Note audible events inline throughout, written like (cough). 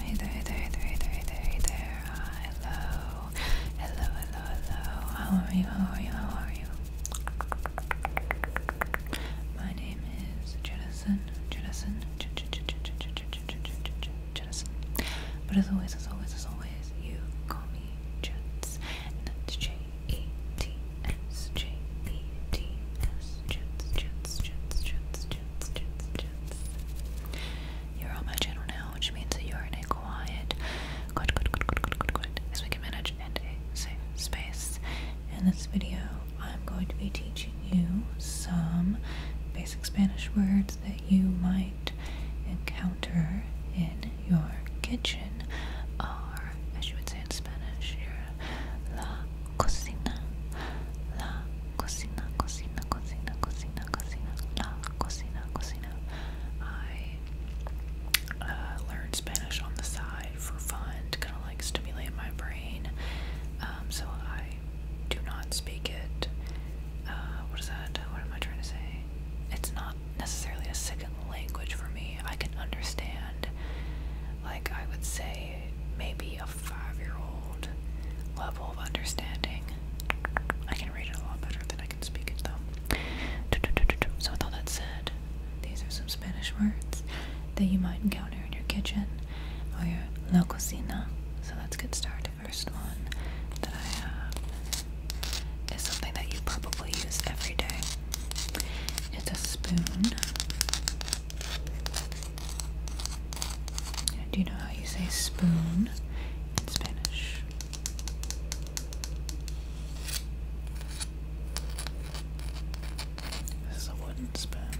Hey there, hey there, hey there, there, there, there. hello. Hello, hello, hello. How are you? How are you? How are you? My name is Jennison. Jennison. Jennison. But as always, as always, as always, you call me Jets. J E T S. J E T S. Jets, Jets, Jets, Jets, Jets, Jets. You're on my channel now, which means that you're in a quiet, as we can manage, and safe space. In this video, I'm going to be teaching you some basic Spanish words that you might encounter in your kitchen, or as you would say in Spanish, your la cocina, la cocina, cocina, cocina, cocina, la cocina, cocina. I uh, learned Spanish on the side for fun to kind of like stimulate my brain. Um, so I do not speak it. Uh, what is that? What am I trying to say? It's not necessarily a second language for me. I can understand, like, I would say maybe a five year old level of understanding. I can read it a lot better than I can speak it though. So, with all that said, these are some Spanish words that you might encounter in your kitchen or your la cocina. So, let's get started. First one that I have is something that you probably use every day. It's a spoon. Do you know how you say spoon in Spanish? This is a wooden spoon.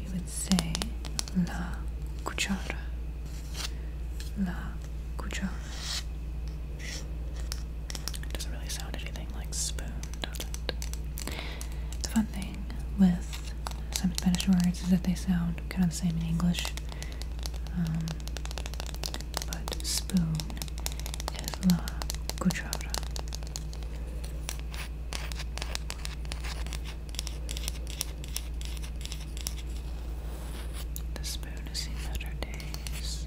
You would say la cuchara. La cuchara. It doesn't really sound anything like spoon, does it? The fun thing with some Spanish words is that they sound kind of the same in English. Um, but spoon is la cuchara. The spoon has seen better days.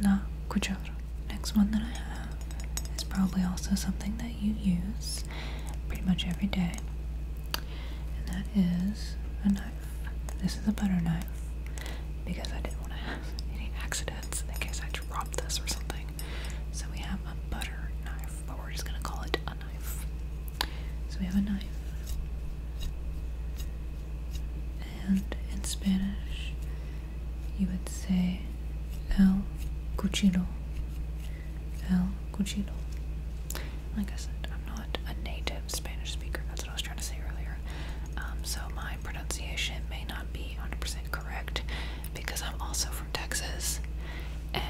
not cuchara. Next one that I have is probably also something that you use pretty much every day, and that is a knife. This is a butter knife because I didn't want to have any accidents in case I dropped this or something. So we have a butter knife, but we're just gonna call it a knife. So we have a knife and in Spanish you would say el cuchillo. El cuchillo. Like I said, I'm not a native Spanish speaker. That's what I was trying to say earlier. Um, so my pronunciation may not be 100% correct because I'm also from Texas and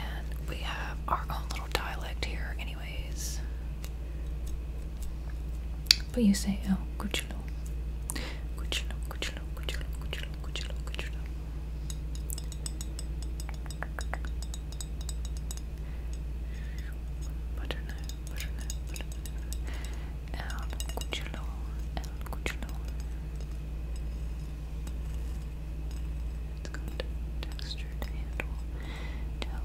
we have our own little dialect here. Anyway, but you say, oh, Kuchulu. Kuchulu, Kuchulu, Kuchulu, Kuchulu, Kuchulu, Kuchulu. Butternut, butternut, butternut. El Kuchulu, El Kuchulu. It's got textured handle to help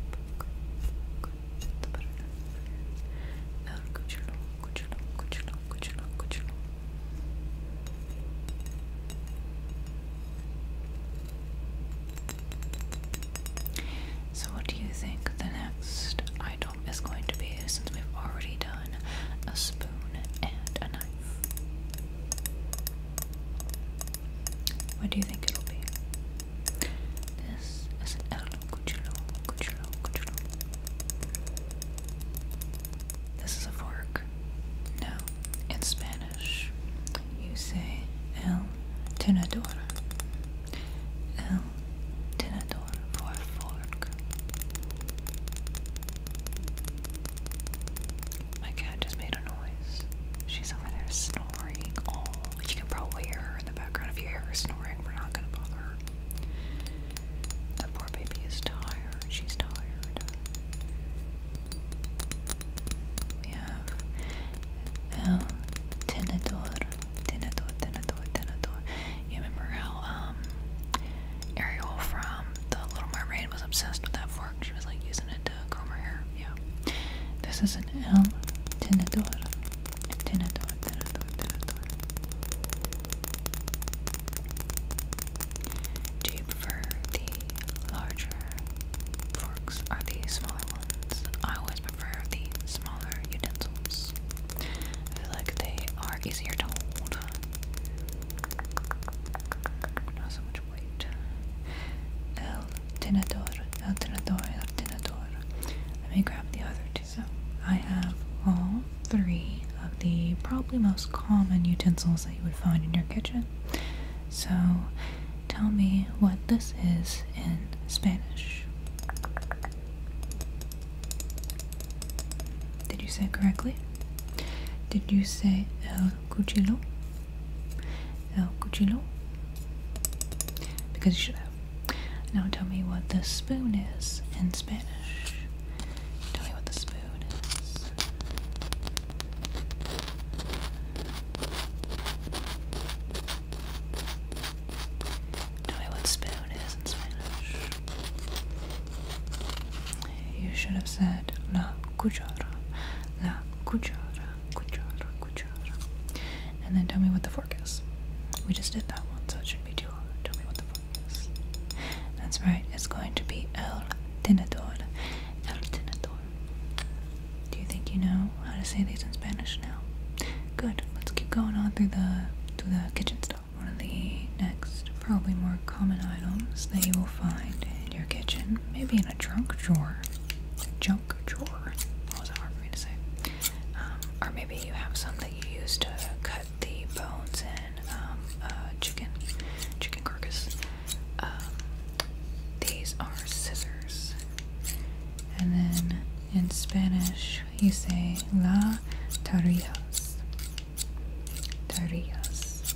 so, what do you think the next item is going to be since we've already done a spoon and a knife? What do you think it'll be? This is El Cuchillo, Cuchillo, Cuchillo. This is a fork. Now, in Spanish, you say El Tenedor. El Tenedor for fork. My cat just made a noise. She's over there snoring snoring. Oh, you can probably hear her in the background if you hear her snoring. We're not gonna bother her. That poor baby is tired. She's tired. We have El Tenedor. Tenedor, Tenedor, Tenedor. You remember how um, Ariel from The Little Mermaid was obsessed with that fork? She was like using it and uh, Yeah. This is an L. Tenedor. Tenedor, Tenedor, Tenedor. Do you prefer the larger forks or the smaller ones? I always prefer the smaller utensils. I feel like they are easier to hold wait. El tenedor, el tenedor, el tenedor. Let me grab the other two. So I have all three of the probably most common utensils that you would find in your kitchen. So tell me what this is in Spanish. Did you say correctly? Did you say el cuchillo? El oh, Cuchillo. Because you should have. Now tell me what the spoon is in Spanish. Tell me what the spoon is. Tell me what spoon is in Spanish. You should have said la cuchara. La cuchara. And then tell me what the forecast. We just did that one, so it shouldn't be too hard. Tell me what the forecast. is. That's right, it's going to be el tenedor. El tenedor. Do you think you know how to say these in Spanish now? Good. Let's keep going on through the through the kitchen stuff. One of the next, probably more common items that you will find in your kitchen, maybe in a trunk drawer, junk drawer. What was that hard for me to say? Um, or maybe you have something you use to cut the bones in um, chicken, chicken carcass. Um, these are scissors. And then in Spanish, you say la tarillas. Tarillas.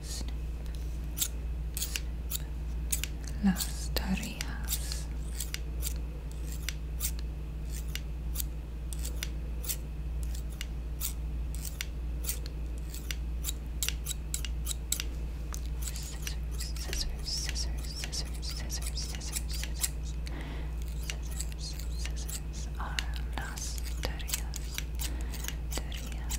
Snape. Las tareas. Scissors, scissors, scissors, scissors, scissors, scissors. Scissors, scissors are las tareas. Tareas.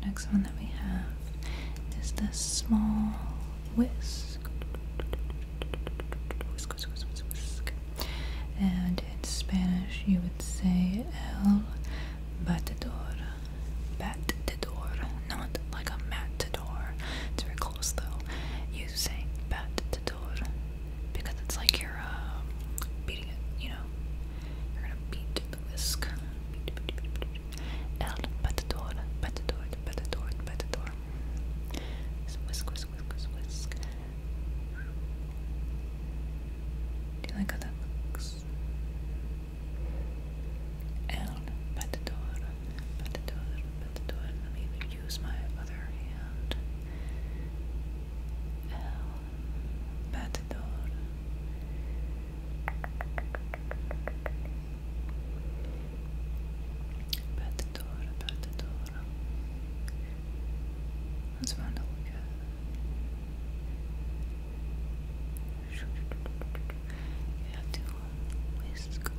The next one that we have is the small whisk. Whisk, whisk, whisk, whisk, And in Spanish, you would say el batidor. Batidor, not like a matador close though, using battedor, because it's like you're um, beating it, you know. You're gonna beat the whisk. Beat, beat, beat, beat. El batedor, batedor, batedor, batedor. whisk, whisk, whisk, whisk, whisk. Do you like how that looks? El batedor about to do it, about to do it, use my other hand. El batidor. Batidor, batidor. That's fun to look at. You have to whisk,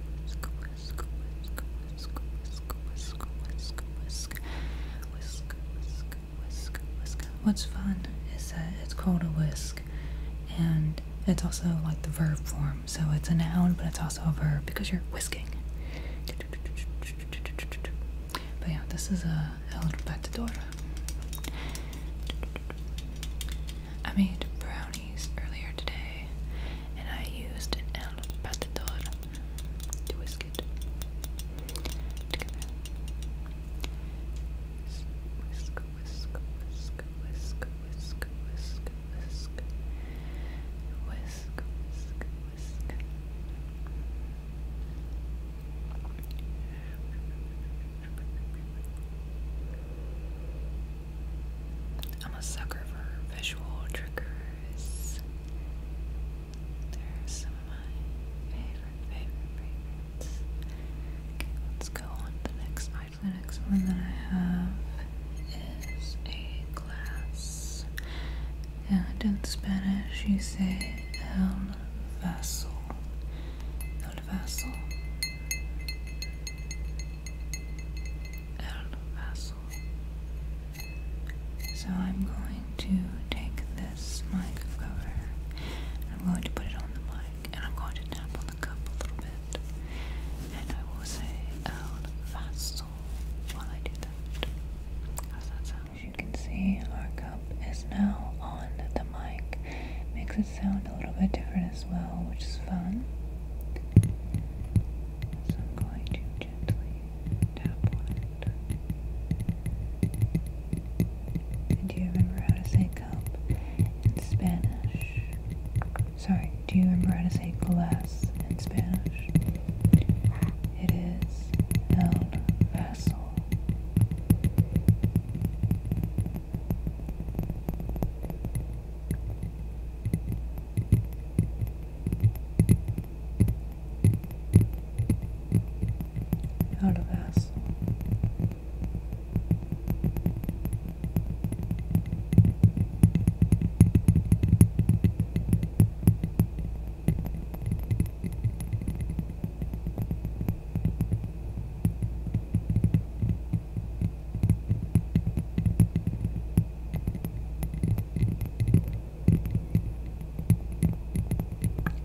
What's fun is that it's called a whisk, and it's also like the verb form, so it's a noun, but it's also a verb because you're whisking. But yeah, this is a uh, El Batidora. I made brown brownies earlier today, and I used an el batidor to whisk it I'm a sucker for visual triggers. They're some of my favorites. let's go on the next item. The next one that I have is a glass. And in Spanish, you say el um, vaso. El vaso vessel. So I'm going to take this mic cover I'm going to put it on the mic and I'm going to tap on the cup a little bit and I will say El Vaso while I do that. How's that sound? As you can see, our cup is now on the mic. Makes sound a little bit different as well, which is fun. So I'm going to gently tap on do you remember how to say cup in Spanish? Sorry, do you remember how to say glass in Spanish? It is el vaso. Out of vessel.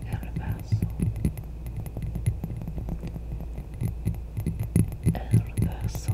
Herbazo Herbazo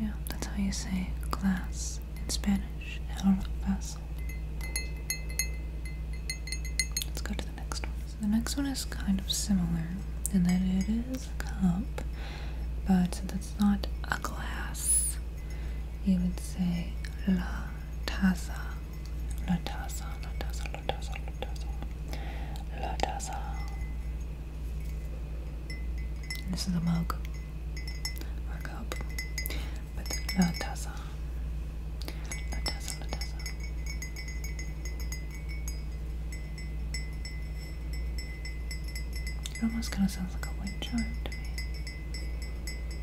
Yeah, that's how you say glass in Spanish. El vaso. Let's go to the next one. the next one is kind of similar in that it is a cup, but that's not a glass. You would say la Lotasa, Lotasa, Lotasa, Lotasa, Lotasa, Lotasa. This is a mug or a cup with Lotasa, Lotasa, Lotasa. It almost kind of sounds like a wind chime to me.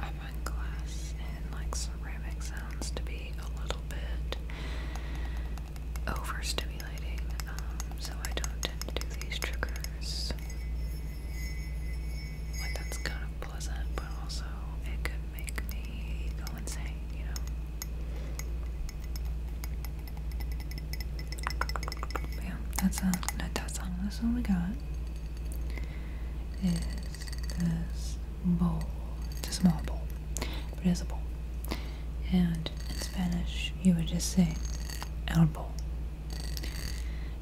I find glass and like ceramic sounds to be a little bit overstimulating, um, so I don't tend to do these triggers. Like, that's kind of pleasant, but also it could make me go insane, you know? But that's uh, a that's all. That's all we got. Is this bowl? It's a small bowl, but it is a bowl and in Spanish you would just say elbow.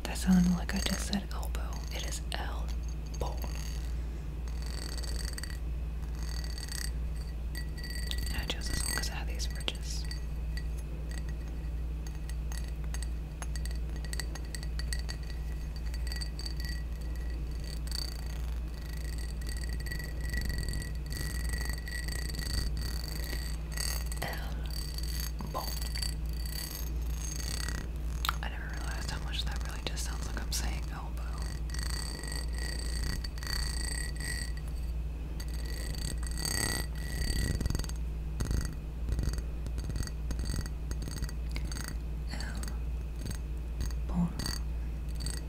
That sounded like I just said elbow. It is elbow. I chose this one because I had these bridges elbow. Um, I never realized how much that really just sounds like I'm saying elbow. Elbow. Um,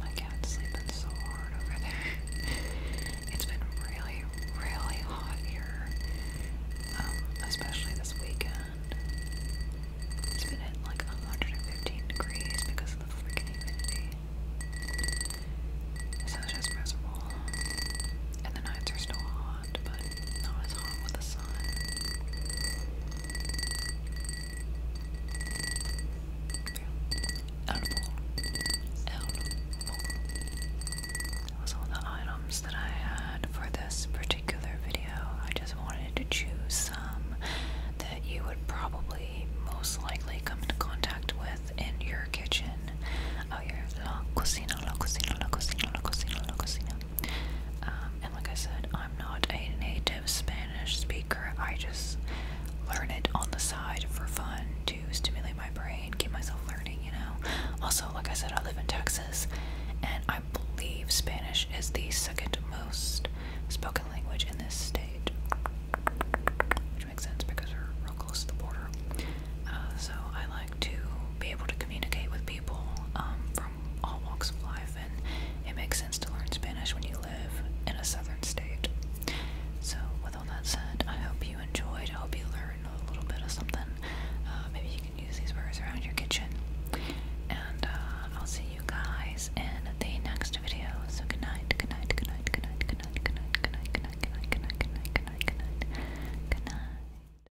My cat's sleeping so hard over there. (laughs) it's been really, really hot here, um, especially this weekend. It's been at like 115 degrees because of the freaking humidity. So it's just miserable. And the nights are still hot hot, but not as hot with the sun. Edible. Edible. That was the items that I had for this particular video. I just wanted to choose some that you would probably most likely come into contact with in your kitchen. Oh, your la cocina, la cocina, la cocina, la cocina, la cocina. Um, and like I said, I'm not a native Spanish speaker. I just learn it on the side for fun to stimulate my brain, keep myself learning, you know. Also, like I said, I live in Texas, and I believe Spanish is the second most spoken language in this state, which makes sense because we're real close to the border. Uh, so I like to be able to communicate with people um, from all walks of life, and it makes sense to learn Spanish when you live in a southern state. So, with all that said, I hope you enjoyed. I hope you learned a little bit of something. maybe you can use these words around your kitchen. And I'll see you guys in the next video. So, good night, good night, good night, good night, good night, good night, good night, good night, good night, good night, good night, good night, good night. Good night.